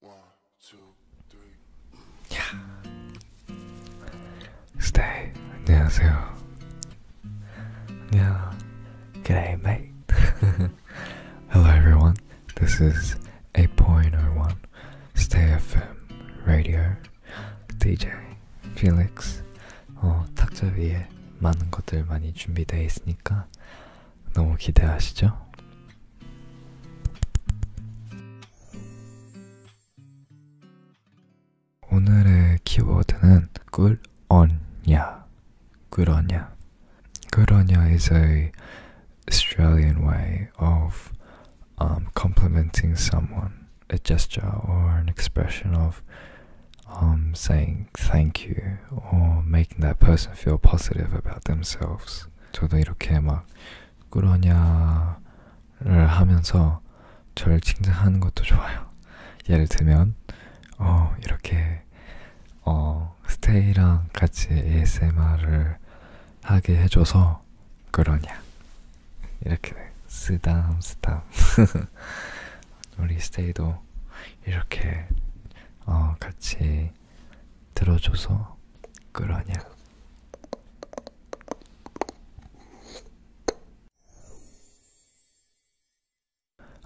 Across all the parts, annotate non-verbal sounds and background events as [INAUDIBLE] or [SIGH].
One, two, three. 스테이 안녕하세요. 안녕. G'day, mate. [LAUGHS] Hello, everyone. This is 8.01 Stay FM Radio DJ Felix. 어, 탁자 위에 많은 것들 많이 준비되어 있으니까 너무 기대하시죠? 오늘의 키워드는 꿀언냐, 꿀언냐. 꿀언냐 is a Australian way of um, complimenting someone, a gesture or an expression of um, saying thank you or making that person feel positive about themselves. 저도 이렇게 막 그러냐를 하면서 저를 칭찬하는 것도 좋아요. 예를 들면 어 이렇게 어 스테이랑 같이 ASMR을 하게 해줘서 그러냐 이렇게 쓰담 쓰담 [LAUGHS] 우리 스테이도 이렇게 어 같이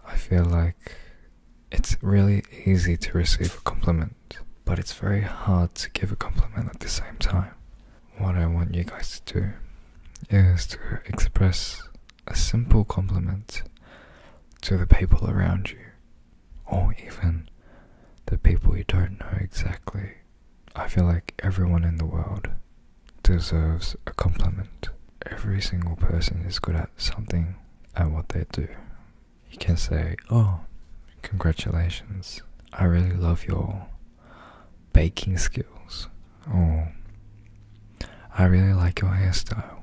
I feel like it's really easy to receive a compliment, but it's very hard to give a compliment at the same time. What I want you guys to do is to express a simple compliment to the people around you or even the people you don't know exactly. I feel like everyone in the world deserves a compliment. Every single person is good at something at what they do. You can say, Oh, congratulations, I really love your baking skills, or I really like your hairstyle,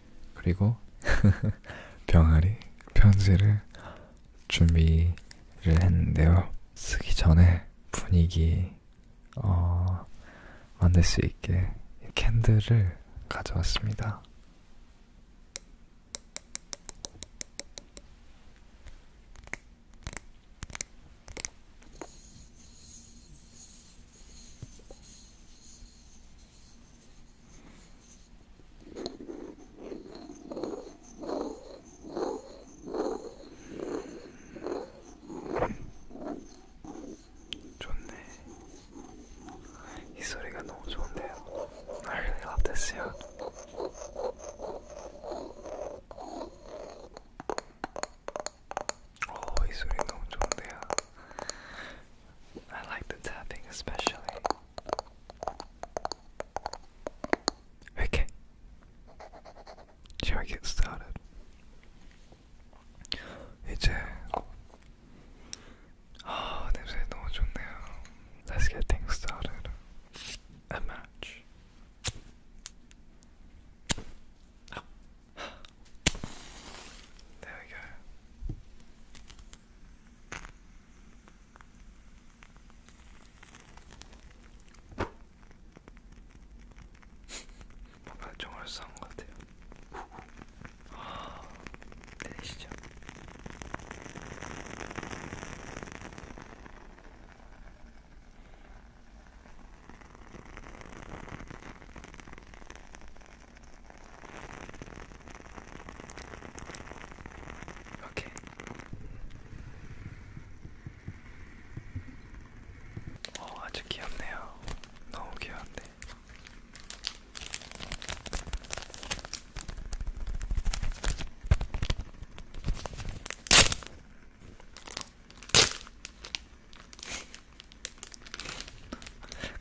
그리고 [LAUGHS] 병아리 편지를 준비를 했는데요. 쓰기 전에 분위기 어, 만들 수 있게 캔들을 가져왔습니다. 좋네. 이 소리가 너무 좋은데요. I really love this sound. 오, 이 소리 너무 좋은데요. I like the tapping especially. Okay. Shall we get started? 이제 아 냄새 너무 좋네요. Let's get things started. A match. There we go. 발정을 싼것 같아요. 아, 내리시죠. 오케이. 어, 아주 귀엽네요. 너무 귀여운데.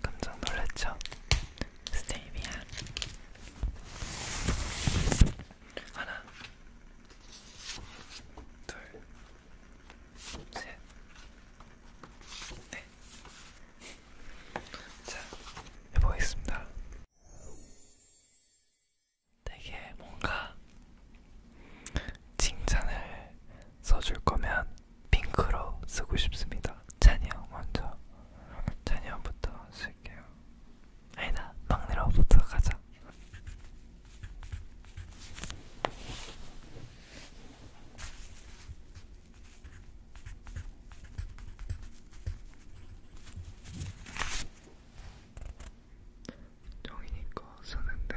깜짝 놀랐죠? 스테비아 하나 둘 셋넷 자, 해보겠습니다. 되게 뭔가 칭찬을 써줄 거면 핑크로 쓰고 싶습니다. 찬이 형 먼저. 찬이 형부터 쓸게요. 아니다, 막내로부터 가자. 정이니까 쓰는데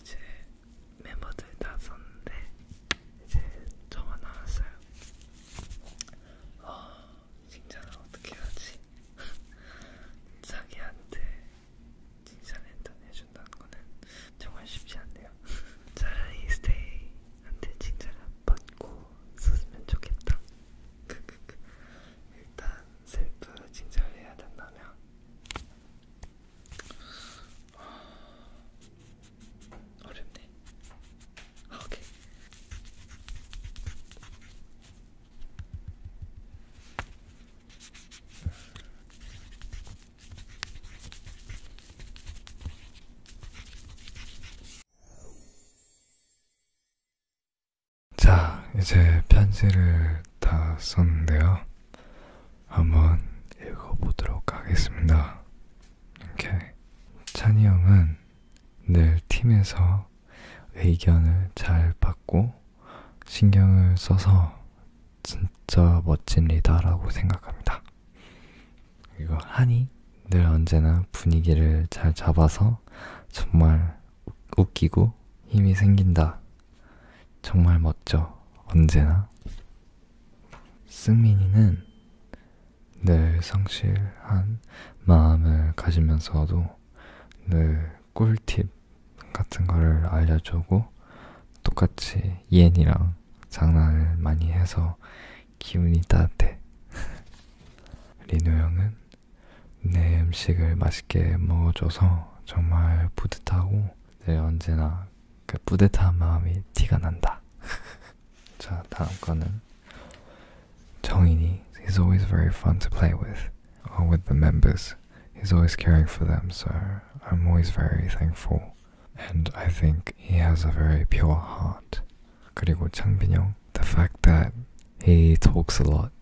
이제 멤버들 다 썼는데 이제 저만 남았어요. 어, 아. 칭찬을 어떻게 하지? [LAUGHS] 자기한테 칭찬을 일단 해준다는 거는 정말 쉽지 않네요. [LAUGHS] 차라리 스테이한테 칭찬을 받고 썼으면 좋겠다. [LAUGHS] 일단 셀프 칭찬을 해야 된다면 아, 어렵네. 아, 오케이. 자, 이제 편지를 다 썼는데요. 한번 읽어보도록 하겠습니다. 이렇게 찬이 형은 늘 팀에서 의견을 잘 받고 신경을 써서 진짜 멋진 리더라고 생각합니다. 그리고 한이 늘 언제나 분위기를 잘 잡아서 정말 웃기고 힘이 생긴다. 정말 멋져. 언제나. 승민이는 늘 성실한 마음을 가지면서도 늘 네, 꿀팁 같은 거를 알려주고 똑같이 이엔이랑 장난을 많이 해서 기운이 따뜻해. [LAUGHS] 리노 형은 내 음식을 맛있게 먹어줘서 정말 뿌듯하고 늘 언제나 그 뿌듯한 마음이 티가 난다. [LAUGHS] 자, 다음 거는 Tongini, he's always very fun to play with, or with the members. He's always caring for them, so I'm always very thankful. And I think he has a very pure heart. 그리고 창빈형, the fact that he talks a lot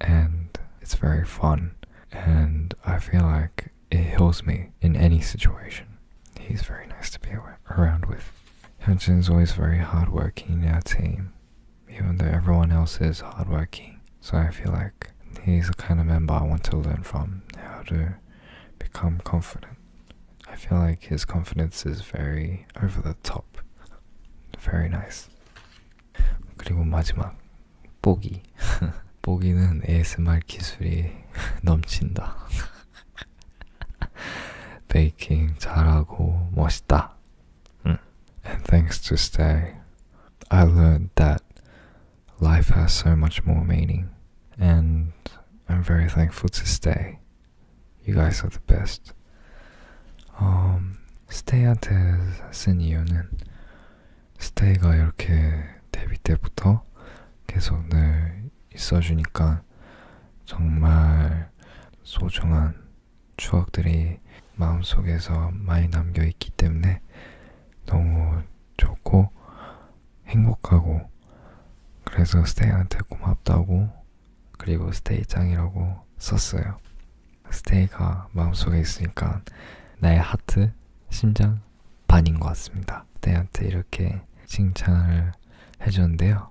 and it's very fun and I feel like it heals me in any situation. He's very nice to be around with. Hyunjin's always very hardworking in our team even though everyone else is hardworking. So I feel like he's the kind of member I want to learn from how to become confident. I feel like his confidence is very over the top. Very nice. 그리고 마지막 뽀기. 뽀기는 [LAUGHS] ASMR 기술이 [LAUGHS] 넘친다. [LAUGHS] 베이킹 잘하고 멋있다. And thanks to Stay, I learned that life has so much more meaning. And I'm very thankful to Stay. You guys are the best. Um, 스테이한테 쓴 이유는 스테이가 이렇게 데뷔 때부터 계속 늘 있어주니까 정말 소중한 추억들이 마음속에서 많이 남겨 있기 때문에 너무 좋고 행복하고 그래서 스테이한테 고맙다고 그리고 스테이 짱이라고 썼어요. 스테이가 마음속에 있으니까 나의 하트, 심장 반인 것 같습니다. 스테이한테 이렇게 칭찬을 해줬는데요.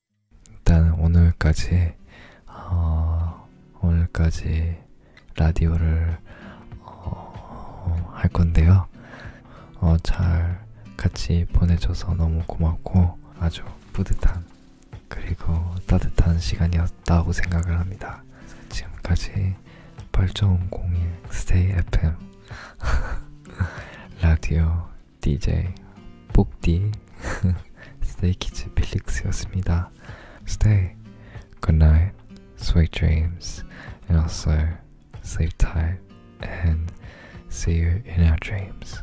일단 오늘까지 어, 오늘까지 라디오를 어, 할 건데요. 어, 잘 같이 보내줘서 너무 고맙고 아주 뿌듯한 그리고 따뜻한 시간이었다고 생각을 합니다. 지금까지 8.001 스테이 FM [LAUGHS] 라디오 DJ Book Bukdi Stay Kids Felix이었습니다. Stay. Good night. Sweet dreams. And also sleep tight and see you in our dreams.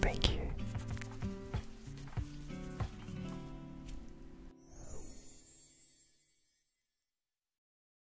Thank you.